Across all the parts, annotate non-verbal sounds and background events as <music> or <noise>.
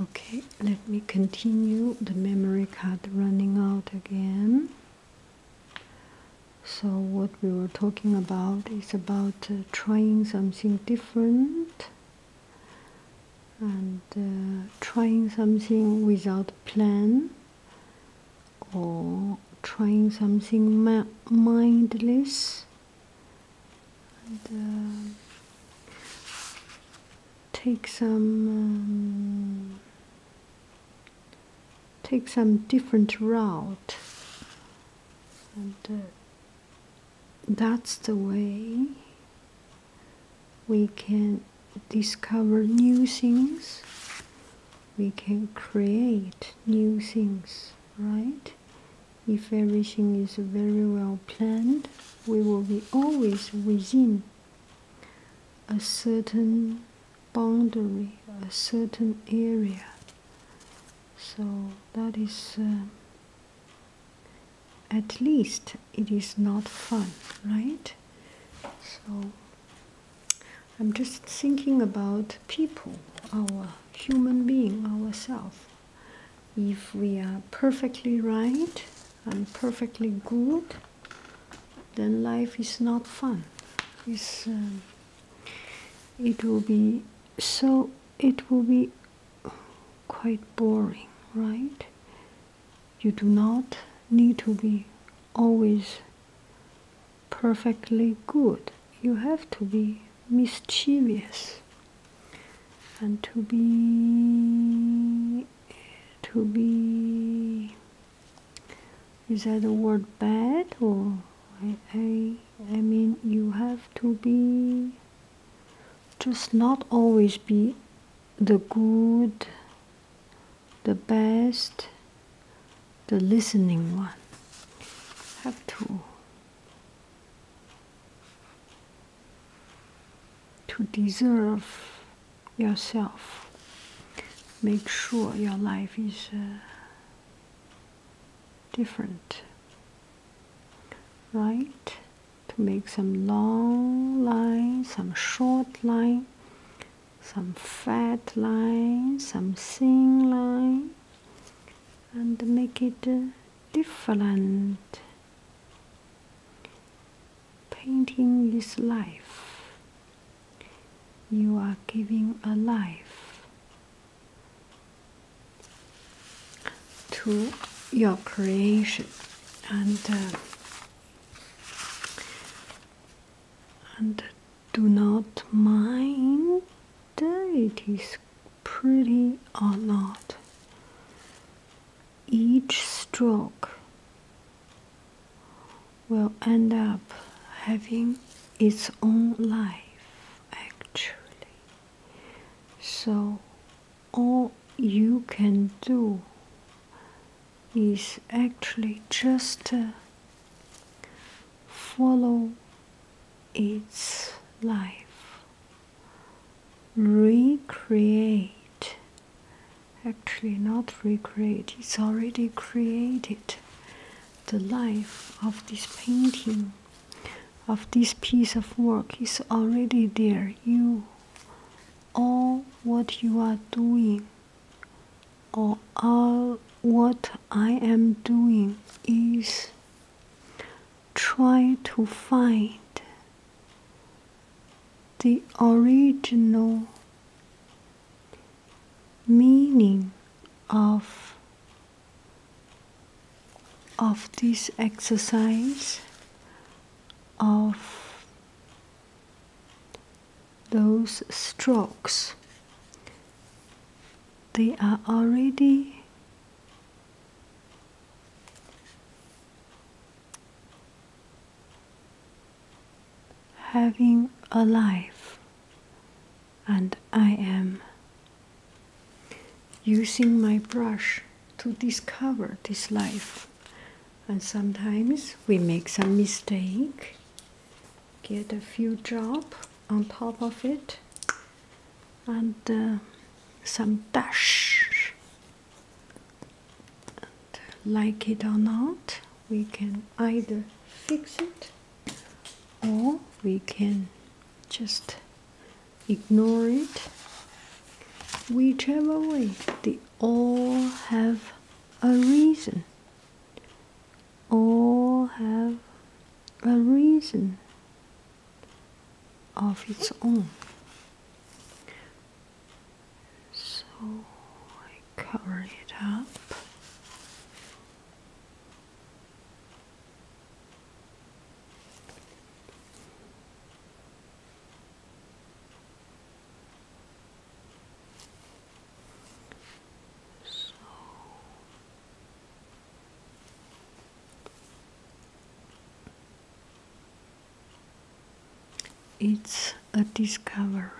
Okay, let me continue the memory card running out again. So what we were talking about is about uh, trying something different and uh, trying something without plan or trying something mindless and um, take some um, take some different route and uh, that's the way we can discover new things we can create new things right if everything is very well planned, we will be always within a certain boundary, a certain area. So that is, um, at least it is not fun, right? So I'm just thinking about people, our human being, ourselves if we are perfectly right and perfectly good then life is not fun um, it will be so it will be quite boring right you do not need to be always perfectly good you have to be mischievous and to be to be is that the word bad or I, I mean you have to be just not always be the good the best the listening one have to to deserve yourself. Make sure your life is uh, different, right? To make some long lines, some short line, some fat line, some thin line and make it uh, different. Painting is life. You are giving a life to your creation and uh, and do not mind uh, it is pretty or not. Each stroke will end up having its own life actually. So, all you can do is actually just uh, follow its life recreate actually not recreate it's already created the life of this painting of this piece of work is already there you all what you are doing or all what i am doing is try to find the original meaning of of this exercise of those strokes they are already having a life and I am using my brush to discover this life and sometimes we make some mistake get a few drop on top of it and uh, some dash. like it or not, we can either fix it or we can just ignore it. Whichever way, they all have a reason. All have a reason of its own. So I cover it up. So it's a discovery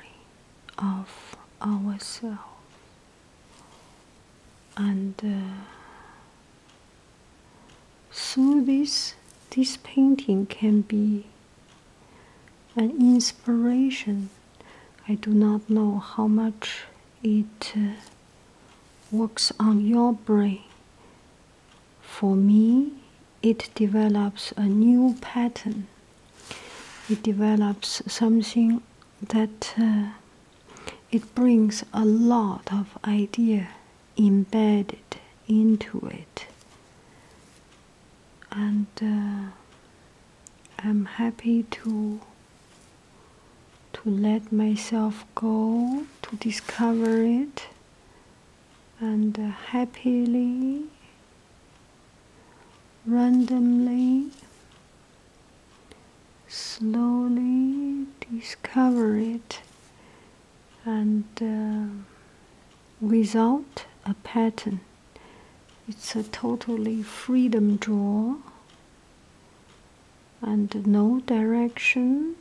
of ourselves and uh, through this this painting can be an inspiration. I do not know how much it uh, works on your brain. For me, it develops a new pattern. It develops something that uh, it brings a lot of idea embedded into it. And uh, I'm happy to to let myself go, to discover it, and uh, happily, randomly, slowly discover it, and without uh, a pattern. It's a totally freedom draw and no direction.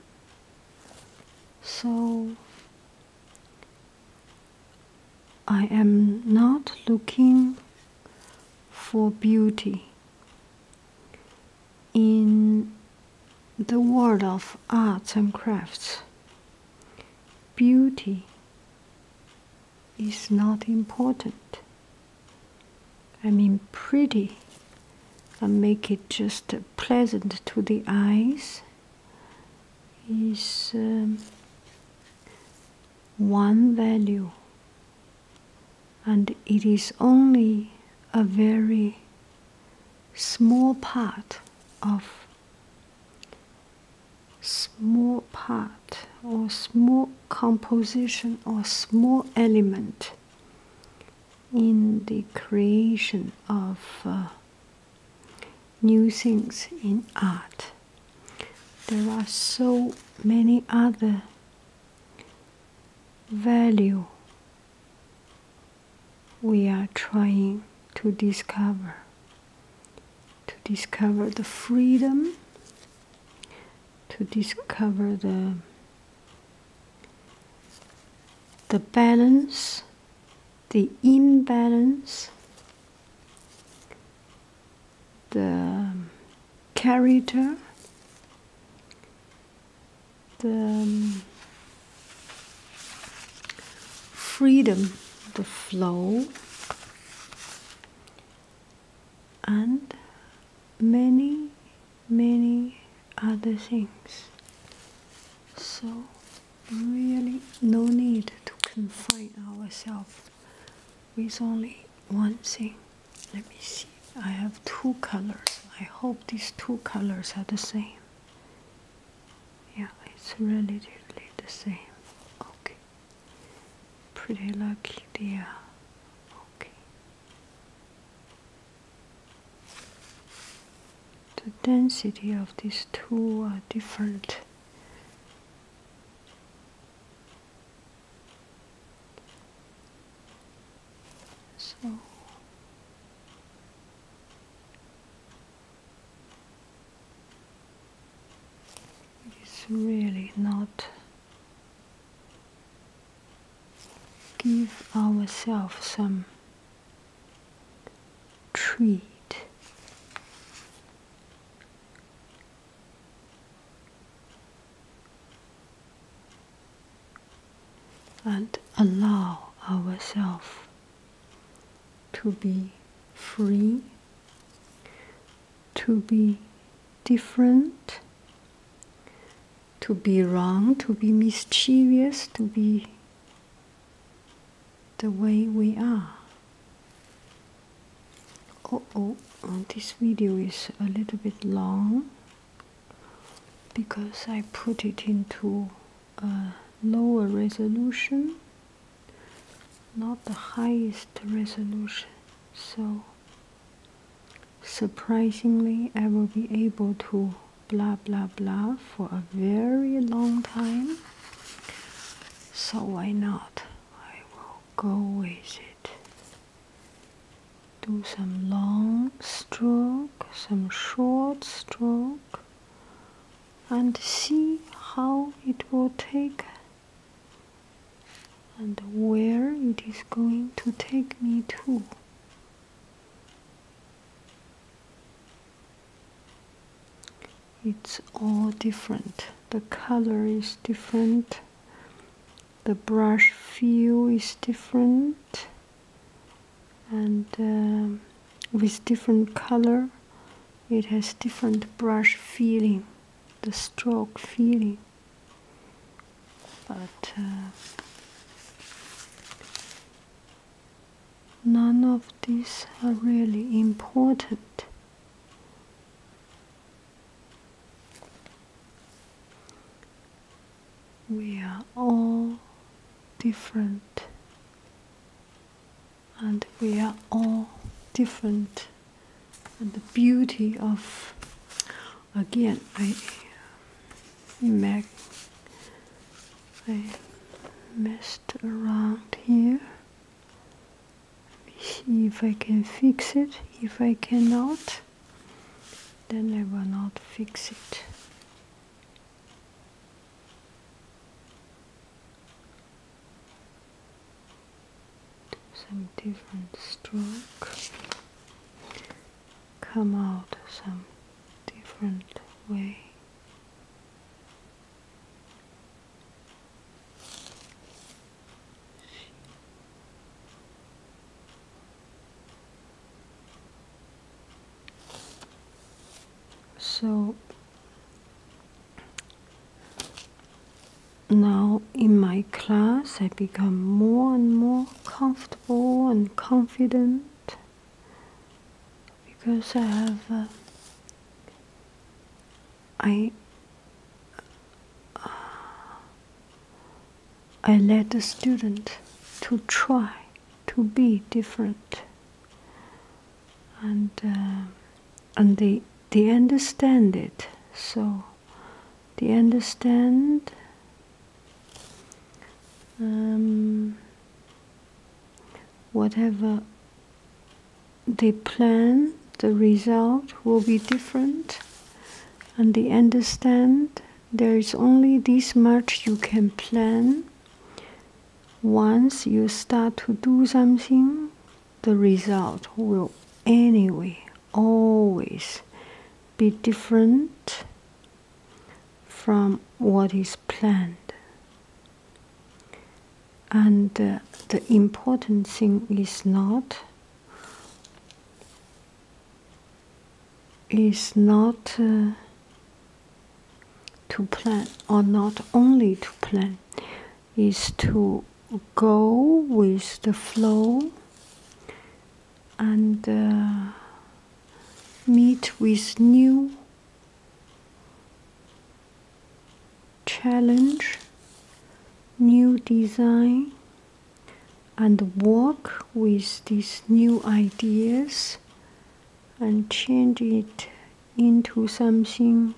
So I am not looking for beauty. In the world of arts and crafts, beauty is not important. I mean pretty and make it just uh, pleasant to the eyes is um, one value and it is only a very small part of small part or small composition or small element in the creation of uh, new things in art. There are so many other value we are trying to discover to discover the freedom to discover the the balance, the imbalance, the character, the um, freedom, the flow, and many many other things so really no need to confine ourselves with only one thing let me see i have two colors i hope these two colors are the same yeah it's relatively the same okay Pretty lucky dear. Okay. The density of these two are different. So it's really not give ourselves some treat. And allow ourselves to be free to be different, to be wrong, to be mischievous, to be the way we are. Oh, oh, this video is a little bit long because I put it into a lower resolution, not the highest resolution. So surprisingly i will be able to blah blah blah for a very long time so why not i will go with it do some long stroke some short stroke and see how it will take and where it is going to take me to. It's all different. The color is different. The brush feel is different. And um, with different color, it has different brush feeling, the stroke feeling but uh, none of these are really important. We are all different, and we are all different and the beauty of again I mag I messed around here. see if I can fix it. If I cannot, then I will not fix it some different stroke come out some different way so now, in my class, I become more and more comfortable and confident because I have uh, I uh, I let the student to try to be different and. Uh, and they they understand it so they understand um, whatever they plan the result will be different and they understand there is only this much you can plan once you start to do something the result will anyway always be different from what is planned. And uh, the important thing is not is not uh, to plan or not only to plan is to go with the flow and uh, meet with new challenge, new design, and work with these new ideas and change it into something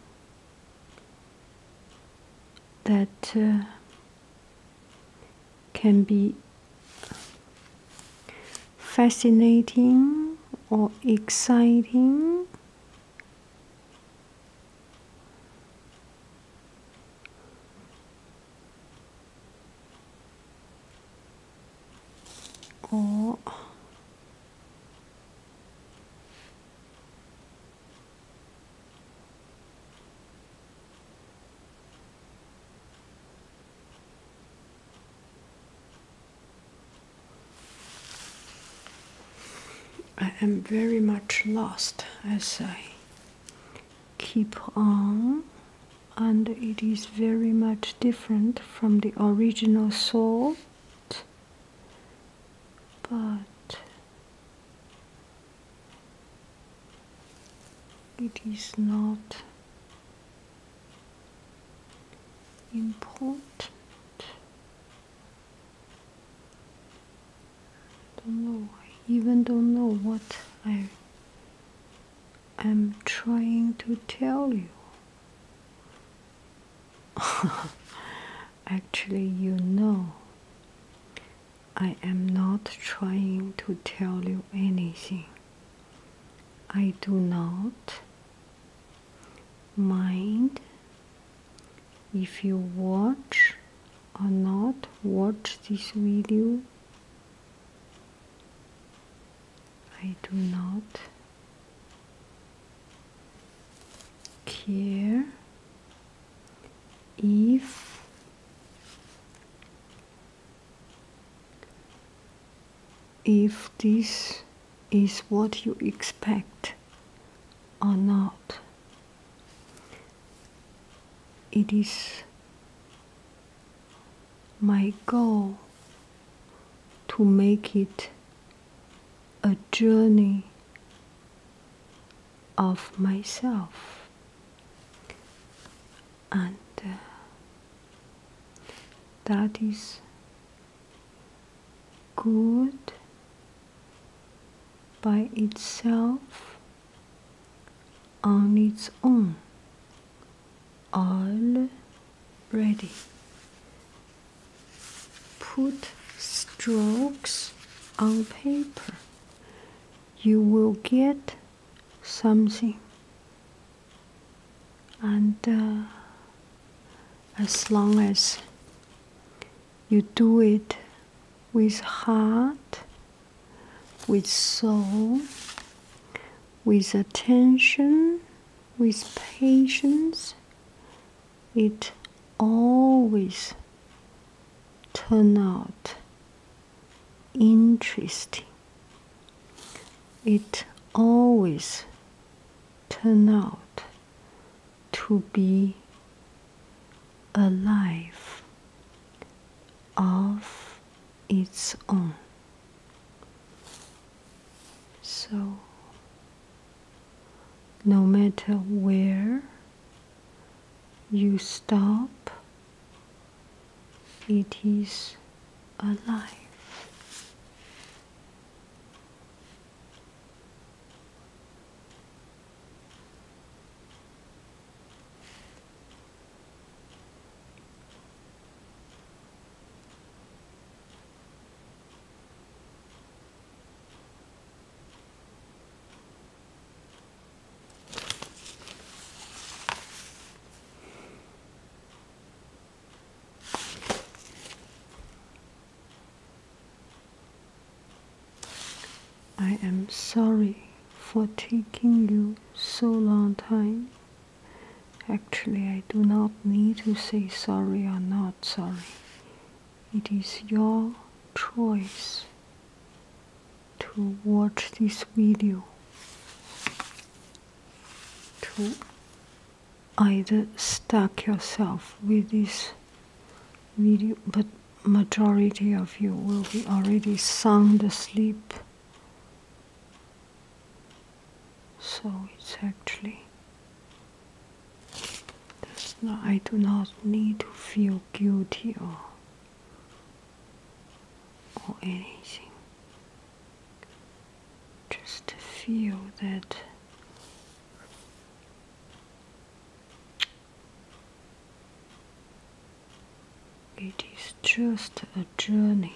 that uh, can be fascinating or exciting. Or I am very much lost as I keep on, and it is very much different from the original salt, but it is not important don't know I even don't know what I am trying to tell you <laughs> Actually, you know, I am not trying to tell you anything. I do not mind if you watch or not watch this video. I do not care if if this is what you expect or not. It is my goal to make it a journey of myself and uh, that is good by itself on its own already put strokes on paper, you will get something. And uh, as long as you do it with heart, with soul, with attention, with patience, it always turn out interesting it always turn out to be a life of its own so no matter where you stop, it is alive. I am sorry for taking you so long time. Actually, I do not need to say sorry or not sorry. It is your choice to watch this video to either stuck yourself with this video but majority of you will be already sound asleep so it's actually I do not need to feel guilty or or anything. Just feel that it is just a journey.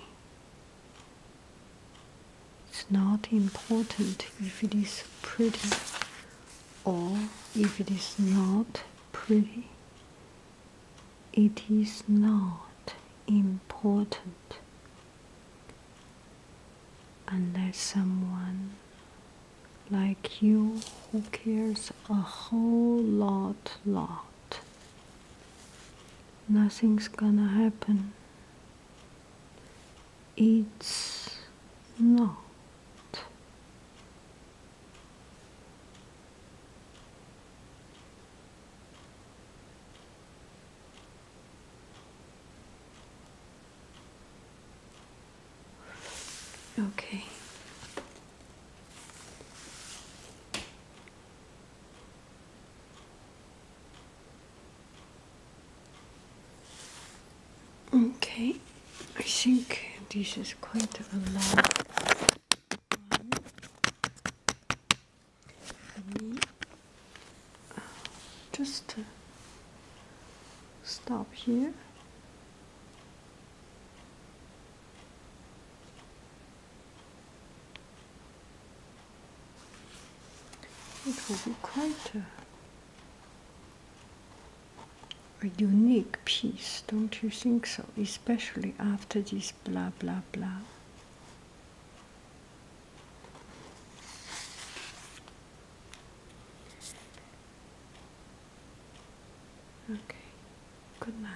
It's not important if it is pretty or if it is not pretty. It is not important unless someone like you who cares a whole lot, lot. Nothing's gonna happen it's not okay Okay, I think this is quite a lot. Uh, just uh, stop here. It will be quite a, unique piece, don't you think so? Especially after this blah blah blah. Okay, good night.